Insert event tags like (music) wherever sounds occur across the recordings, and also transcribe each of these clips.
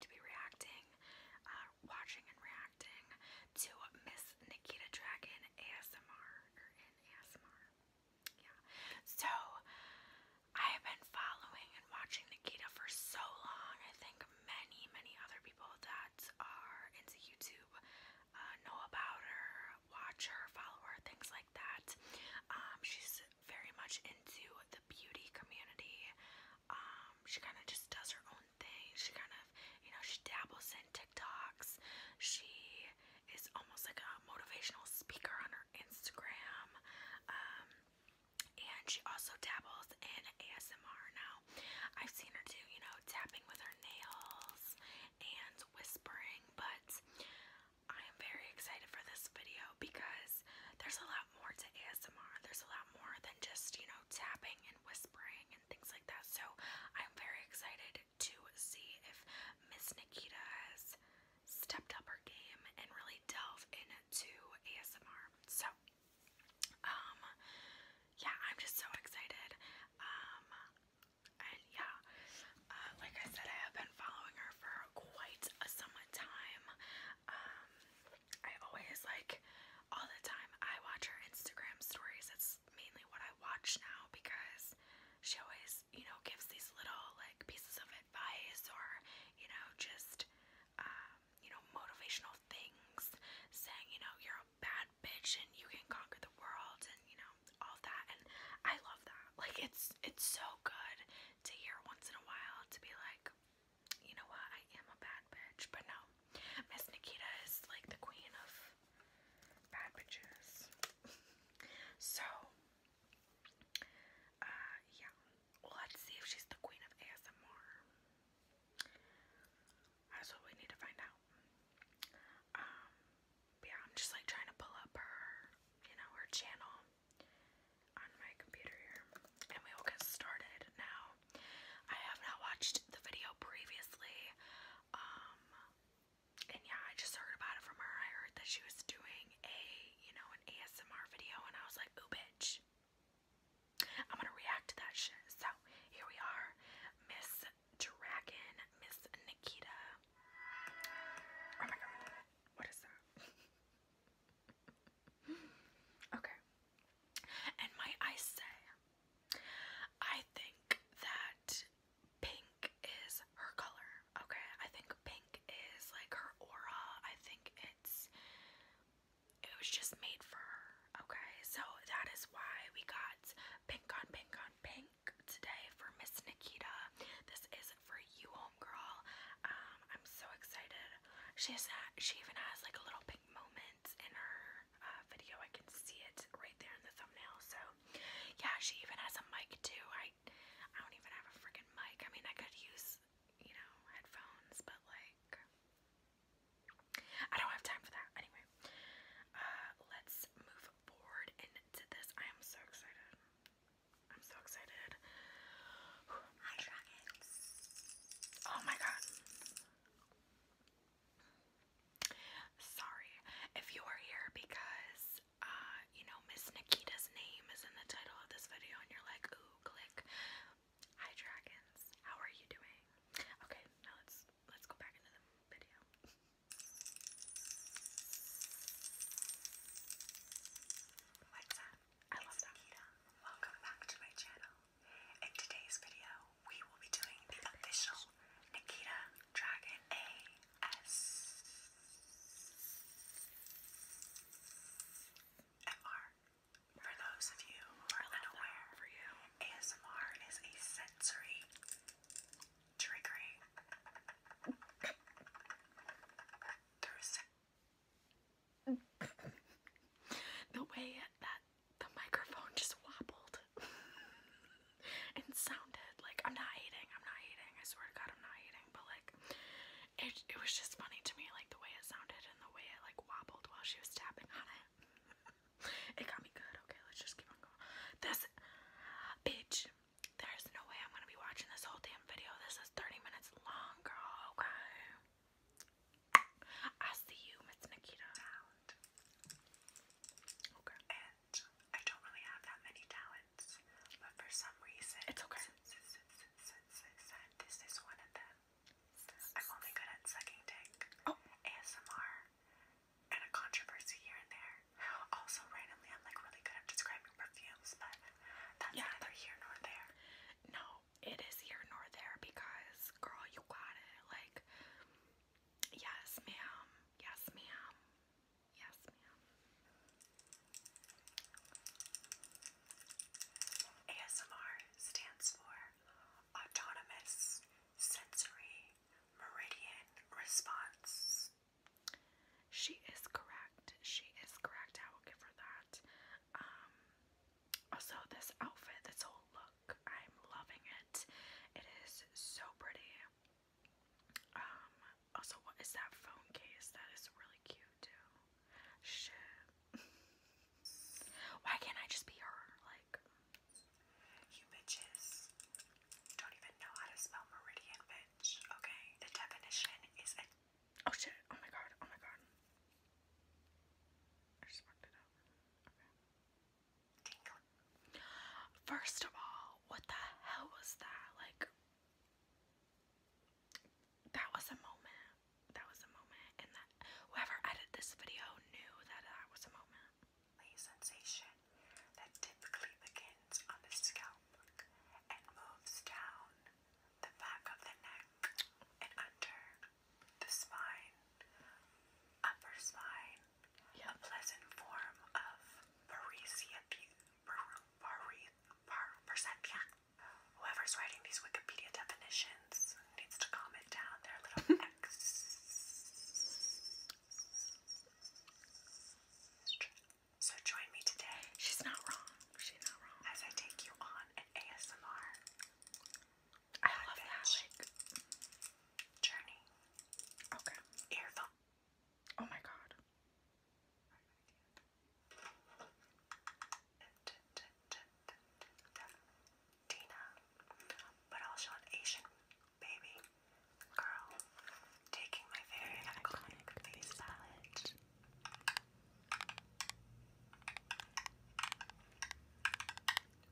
to be reacting, uh, watching and reacting to Miss Nikita Dragon ASMR Yeah. So I have been following and watching Nikita for so long. I think many, many other people that are into YouTube uh, know about her, watch her, follow her, things like that. Um, she's very much into the beauty community. Um, um, she kind of just does her own thing. She kind of, you know, she dabbles in TikToks. She is almost like a motivational speaker on her Instagram. Um, and she also dabbles in ASMR now. I've seen her do, you know, tapping with her nails and whispering, but I am very excited for this video because there's a lot more to ASMR. There's a lot more than just, you know, tapping and whispering and things like that. So I'm very excited to see if Miss Nikita has stepped up her game and really delved into ASMR. So um yeah, I'm just so excited. Um, and yeah, uh, like I said, I have been following her for quite a some um, I always like all the time I watch her Instagram stories. That's mainly what I watch now because she always, you know, gives these little like pieces of advice or, you know, just um, you know, motivational things saying, you know, you're a bad bitch and you can conquer the world and you know, all that and I love that. Like it's it's so good to hear once in a while to be like, you know what? I am a bad bitch, but no. Miss Nikita is like the queen of bad bitches. (laughs) so, uh, yeah. Let's see if she's the queen of ASMR. That's what we need to find out. Um, yeah, I'm just like trying to pull up her, you know, her channel on my computer here, and we will get started now. I have not watched the video previously, um, and yeah, I just heard about it from her. I heard that she was doing a, you know, an ASMR video, and I was like, oh, bitch. I'm gonna react to that shit. So here we are, Miss Dragon, Miss Nikita. Oh my god, what is that? (laughs) okay. And might I say, I think that pink is her color, okay? I think pink is like her aura. I think it's, it was just made for her, okay? So that is why we got pink on pink on pink today for Miss Nikita. This is for you, homegirl. Um, I'm so excited. She has uh, she even has like a little pink moment in her uh, video. I can see it right there in the thumbnail. So yeah, she even has a mic too. I I don't even have a freaking mic. I mean, I could use you know headphones, but like I don't have time for that anyway. Uh, let's move forward into this. I am so excited. I'm so excited. Hi, dragons. Oh my god. Sorry if you are here because, uh, you know, Miss Nikita's name is in the title of this video and you're like, ooh, click. Hi, dragons. How are you doing? Okay, now let's let's go back into the video. What's up? I love Welcome back to my channel. In today's video, we will be doing the official Nikita Dragon ASMR. For those of you who are unaware, for you, ASMR is a sensory triggering (laughs) the way that the microphone just wobbled (laughs) and sounded like I'm not hating, I'm not hating, I swear to God, I'm not hating, but like it, it was just funny to me, like the way it sounded and the way it like wobbled while she was tapping on it. it got me good. Okay, let's just keep on going. This bitch, there's no way I'm gonna be watching this whole damn video. This is 30 minutes long, girl, okay? I see you, Miss Nikita. Okay. I don't really have that many talents, but for some reason, it's okay. This is one of them. I'm only good at sucking dick, oh. ASMR, and a controversy here and there. Also, randomly, I'm like really good at describing perfumes, but that's here nor there. No, it is here nor there because, girl, you got it. Like, yes, ma'am. Yes, ma'am. Yes, ma'am. ASMR stands for Autonomous Sensory Meridian Response. She is correct. She is correct. I will give her that. Um, also, this outfit, this whole look, I'm loving it. It is so pretty. Um, also, what is that phone case? That is really cute, too. Shit. Why can't I just be her? Like, you bitches don't even know how to spell meridian, bitch. Okay, the definition is a Oh shit, oh my god, oh my god. I just fucked it up. Okay. First of all, what the hell was that? Like, that was a moment. That was a moment. And that whoever edited this video knew that that was a moment the back of the neck and under the spine, upper spine, a pleasant form of paresia, Whoever's writing these Wikipedia definitions needs to comment down their little (laughs) X. So join me today. She's not wrong. She's not wrong. As I take you on an ASMR. journey. Okay. Earphone. Oh my god. Tina, but also an Asian baby girl taking my very iconic face palette.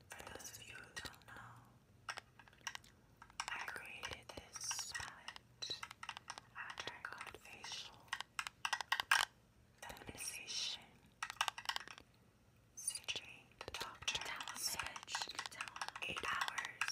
For those of you who don't know, I created this palette after I got facial feminization surgery. The doctor said 8 hours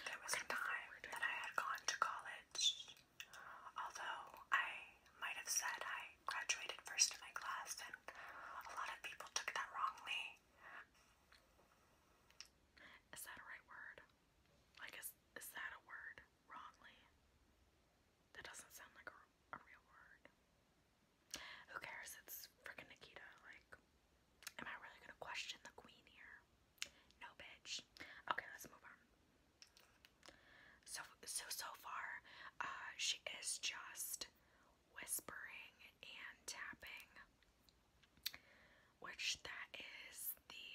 There was a time that I had gone to college, although I might have said I graduated first in my class, and a lot of people took that wrongly. Is that a right word? Like, is, is that a word? Wrongly? That doesn't sound like a, a real word. Who cares? It's frickin' Nikita. Like, am I really gonna question the queen here? No, bitch. Okay, let's move on. So, so, so far, uh, she is just whispering and tapping, which that is the,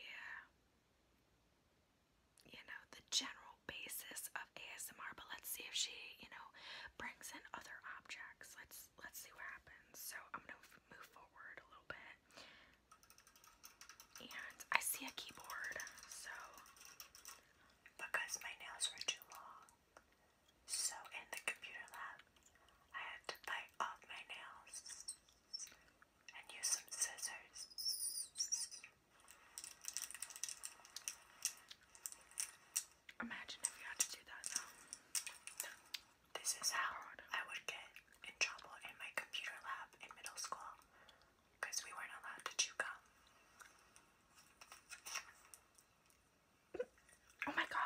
you know, the general basis of ASMR, but let's see if she, you know, brings in other objects. Let's, let's see what happens. So I'm going to move forward a little bit. And I see a keyboard, so because my nails were too long. So in the computer lab, I had to bite off my nails and use some scissors. Imagine if you had to do that now. This is how I would get in trouble in my computer lab in middle school because we weren't allowed to chew gum. Oh my god.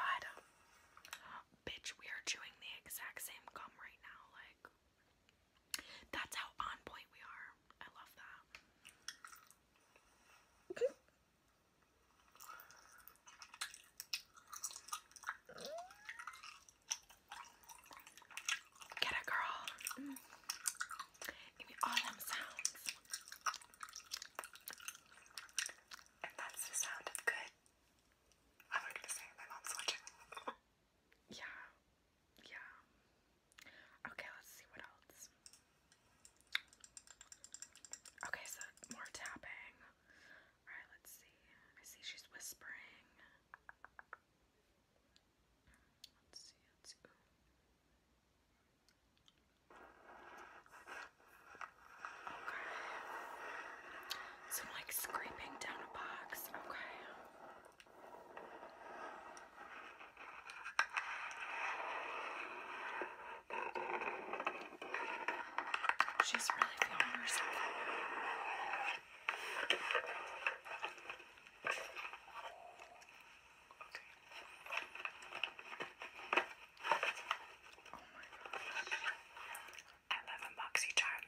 Bitch, we are chewing the exact same gum right now. Like, that's how on point we are. I love that. Get it, girl. Mm. Give me all them sounds. And that's the sound of good. I'm gonna say my mom's watching. yeah. Yeah. Okay, let's see what else. Okay, so more tapping. Alright, let's see. I see she's whispering. Let's see, let's see. Okay. So like scraping down a box. Okay. She's really feeling herself.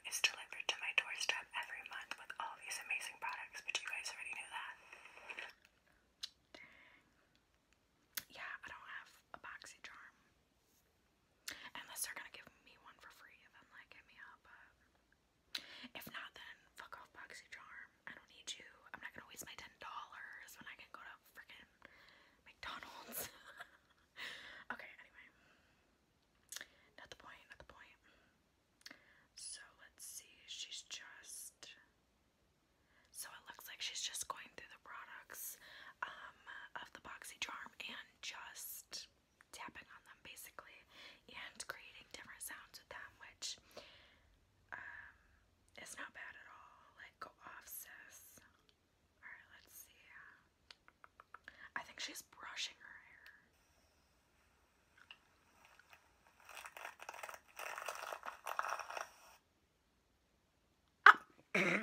is delivered to my doorstep every month with all these amazing products, but you guys already knew that. Yeah, I don't have a BoxyCharm. Unless they're gonna give me one for free and then like hit me up. if not, then fuck off BoxyCharm. I don't need you. I'm not gonna waste my ten dollars when I can go to freaking McDonald's. (laughs) okay, anyway. Not the point, not the point. So let's see, she's just so it looks like she's just going through the products. Um, of the BoxyCharm and just tapping on them basically and creating different sounds with them, which um, not bad at all. Like, go off, sis. Alright, let's see. I think she's brushing her hair. Girl.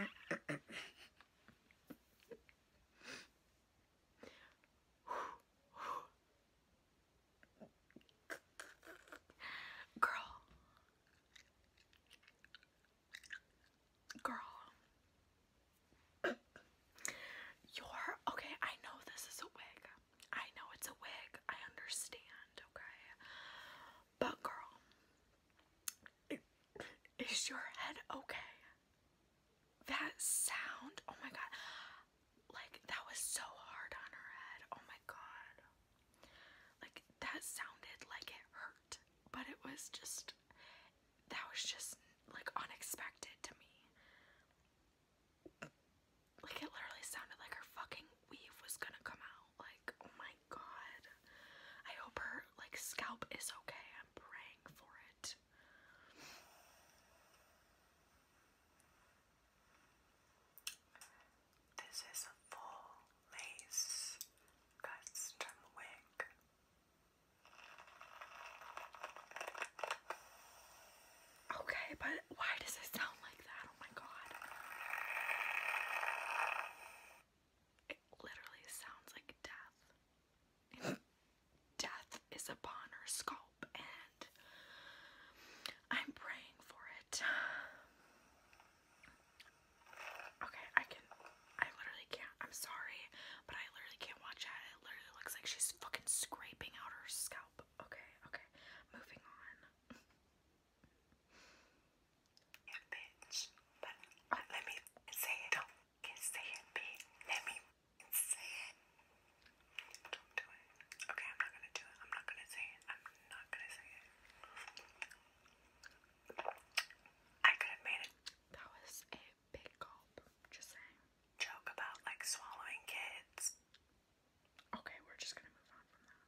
Girl. You're okay. I know this is a wig. I know it's a wig. I understand. Okay. But, girl, is your head okay? That sound, oh my god. Like, that was so hard on her head. Oh my god. Like, that sounded like it hurt, but it was just, that was just like unexpected to me. Like, it literally sounded like her fucking weave was gonna come out. Like, oh my god. I hope her like scalp is okay. I'm praying for it. This is a full lace custom wig. Okay, but why does it sound like that? Oh my god. It literally sounds like death. death is upon her scalp, and I'm praying for it. Okay, I can. I literally can't. I'm sorry, but I literally can't watch that. It literally looks like she's fucking scraping out her scalp. Okay, okay. Moving on. Yeah, bitch. But let me say it. Don't say it, bitch. Let me say it. Don't do it. Okay, I'm not gonna do it. I'm not gonna say it. I'm not gonna say it. I could have made it. That was a big gulp. Just saying. Joke about like swallowing kids. Okay, we're just gonna move on from that.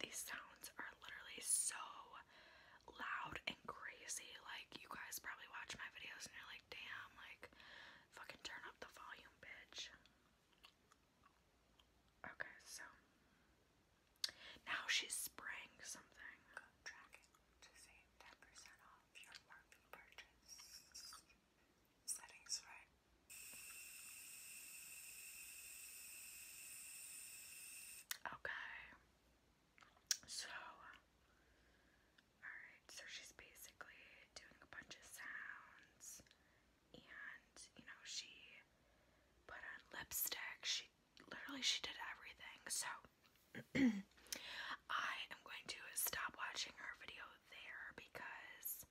These sounds are literally so loud and crazy. Like, you guys probably watch my videos and you're like, damn, like, fucking turn up the volume, bitch. Okay, so now she's spraying something to save 10% off your Morphe purchase. Settings right. Okay. So, alright, so she's basically doing a bunch of sounds, and you know, she put on lipstick, she literally she did everything. So (clears throat) I am going to stop watching her video there because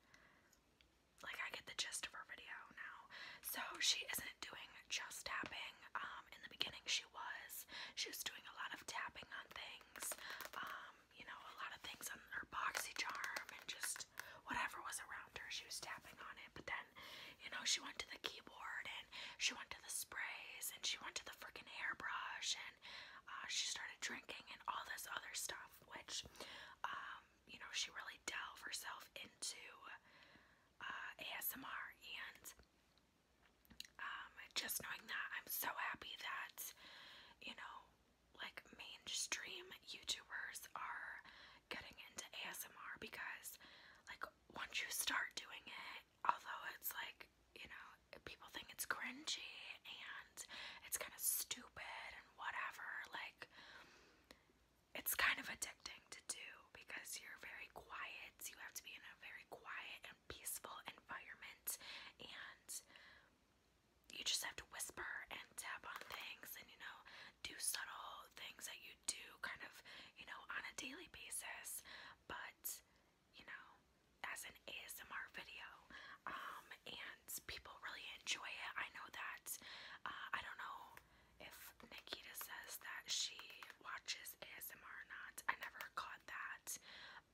like I get the gist of her video now. So she isn't doing just tapping. Um in the beginning she was. She was doing a lot of tapping on things. Um, you know, a lot of things on her boxy charm and just whatever was around her, she was tapping on it. But then you know, she went to the keyboard and she went to the sprays and she went to the freaking hairbrush and uh, she started drinking and all this other stuff, which, um, you know, she really delved herself into uh, ASMR. And um, just knowing that, I'm so happy that, you know, like mainstream YouTubers are getting into ASMR because, like, once you start doing it although it's like, you know, people think it's cringy and it's kind of stupid and whatever, like, it's kind of addicting to do because you're very quiet. You have to be in a very quiet and peaceful environment, and you just have to whisper and tap on things and, you know, do subtle things that you do kind of, you know, on a daily basis, but you know, as an ASMR video. Um, and people really enjoy it. I know that uh, I don't know if Nikita says that she watches ASMR or not. I never caught that.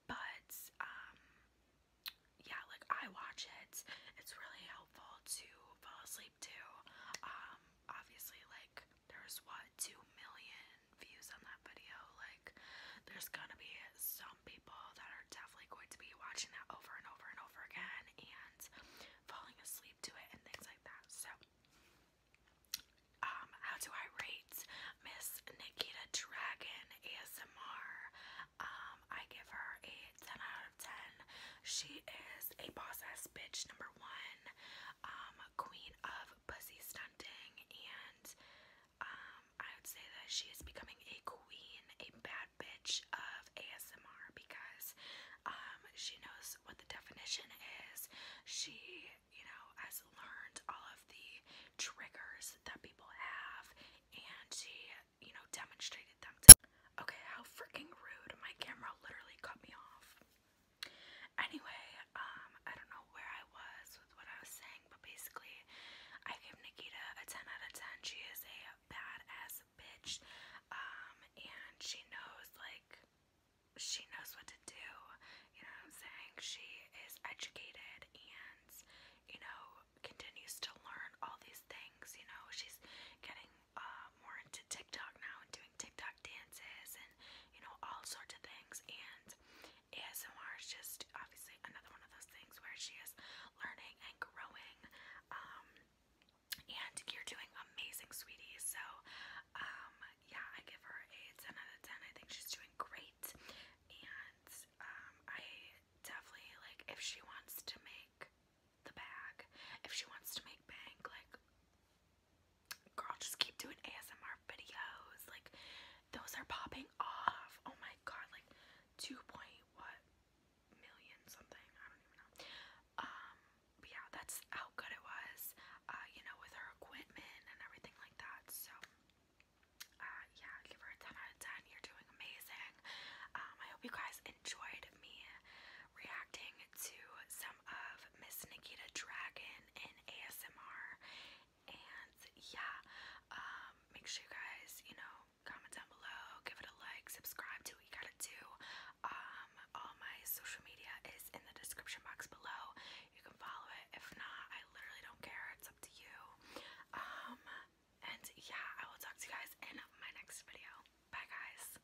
But um yeah, like I watch it. It's really helpful to fall asleep too. Um, obviously like there's what, 2 million views on that video. Like, there's gonna be some people that are definitely going to be watching that over and over and over again and falling asleep to it and things like that. So, um, how do I rate Miss Nikita Dragon ASMR? Um, I give her a 10 out of 10. She is a boss ass bitch, number one um, queen of pussy stunting, and um, I would say that she is becoming a queen, a bad bitch of ASMR because um, she knows what the definition is. She, you know, has learned all of the triggers that people have, and she, you know, demonstrated them. To okay, how freaking rude! My camera literally cut me off. Anyway, um, I don't know where I was with what I was saying, but basically, I give Nikita a 10 out of 10. She is a bad ass bitch, um, and she knows, like, she knows what to do. You know what I'm saying? She is educated and, you know, continues to learn all these things. You know, she's getting uh, more into TikTok now and doing TikTok dances and you know all sorts of things. And ASMR is just obviously another one of those things where she is learning and growing. Um, and you're doing amazing, sweetie. So, um, yeah, I give her a 10 out of 10. I think she's doing great. And um, I definitely like if she wants to make the bag, if she wants to make bank, like Girl, just keep doing ASMR videos. Like, those are popping off. Oh my god, like, 2 point what million something. I don't even know. Um, yeah, that's how good it was. Uh, you know, with her equipment and everything like that. So, uh, yeah, give her a 10 out of 10. You're doing amazing. Um, I hope you guys enjoyed me reacting to some of Miss Nikita Dragon and ASMR. And yeah, um, make sure you guys, you know, comment down below, give it a like, subscribe, do what gotta do. Um, all my social media is in the description box below. You can follow it. If not, I literally don't care. It's up to you. Um, and yeah, I will talk to you guys in my next video. Bye, guys.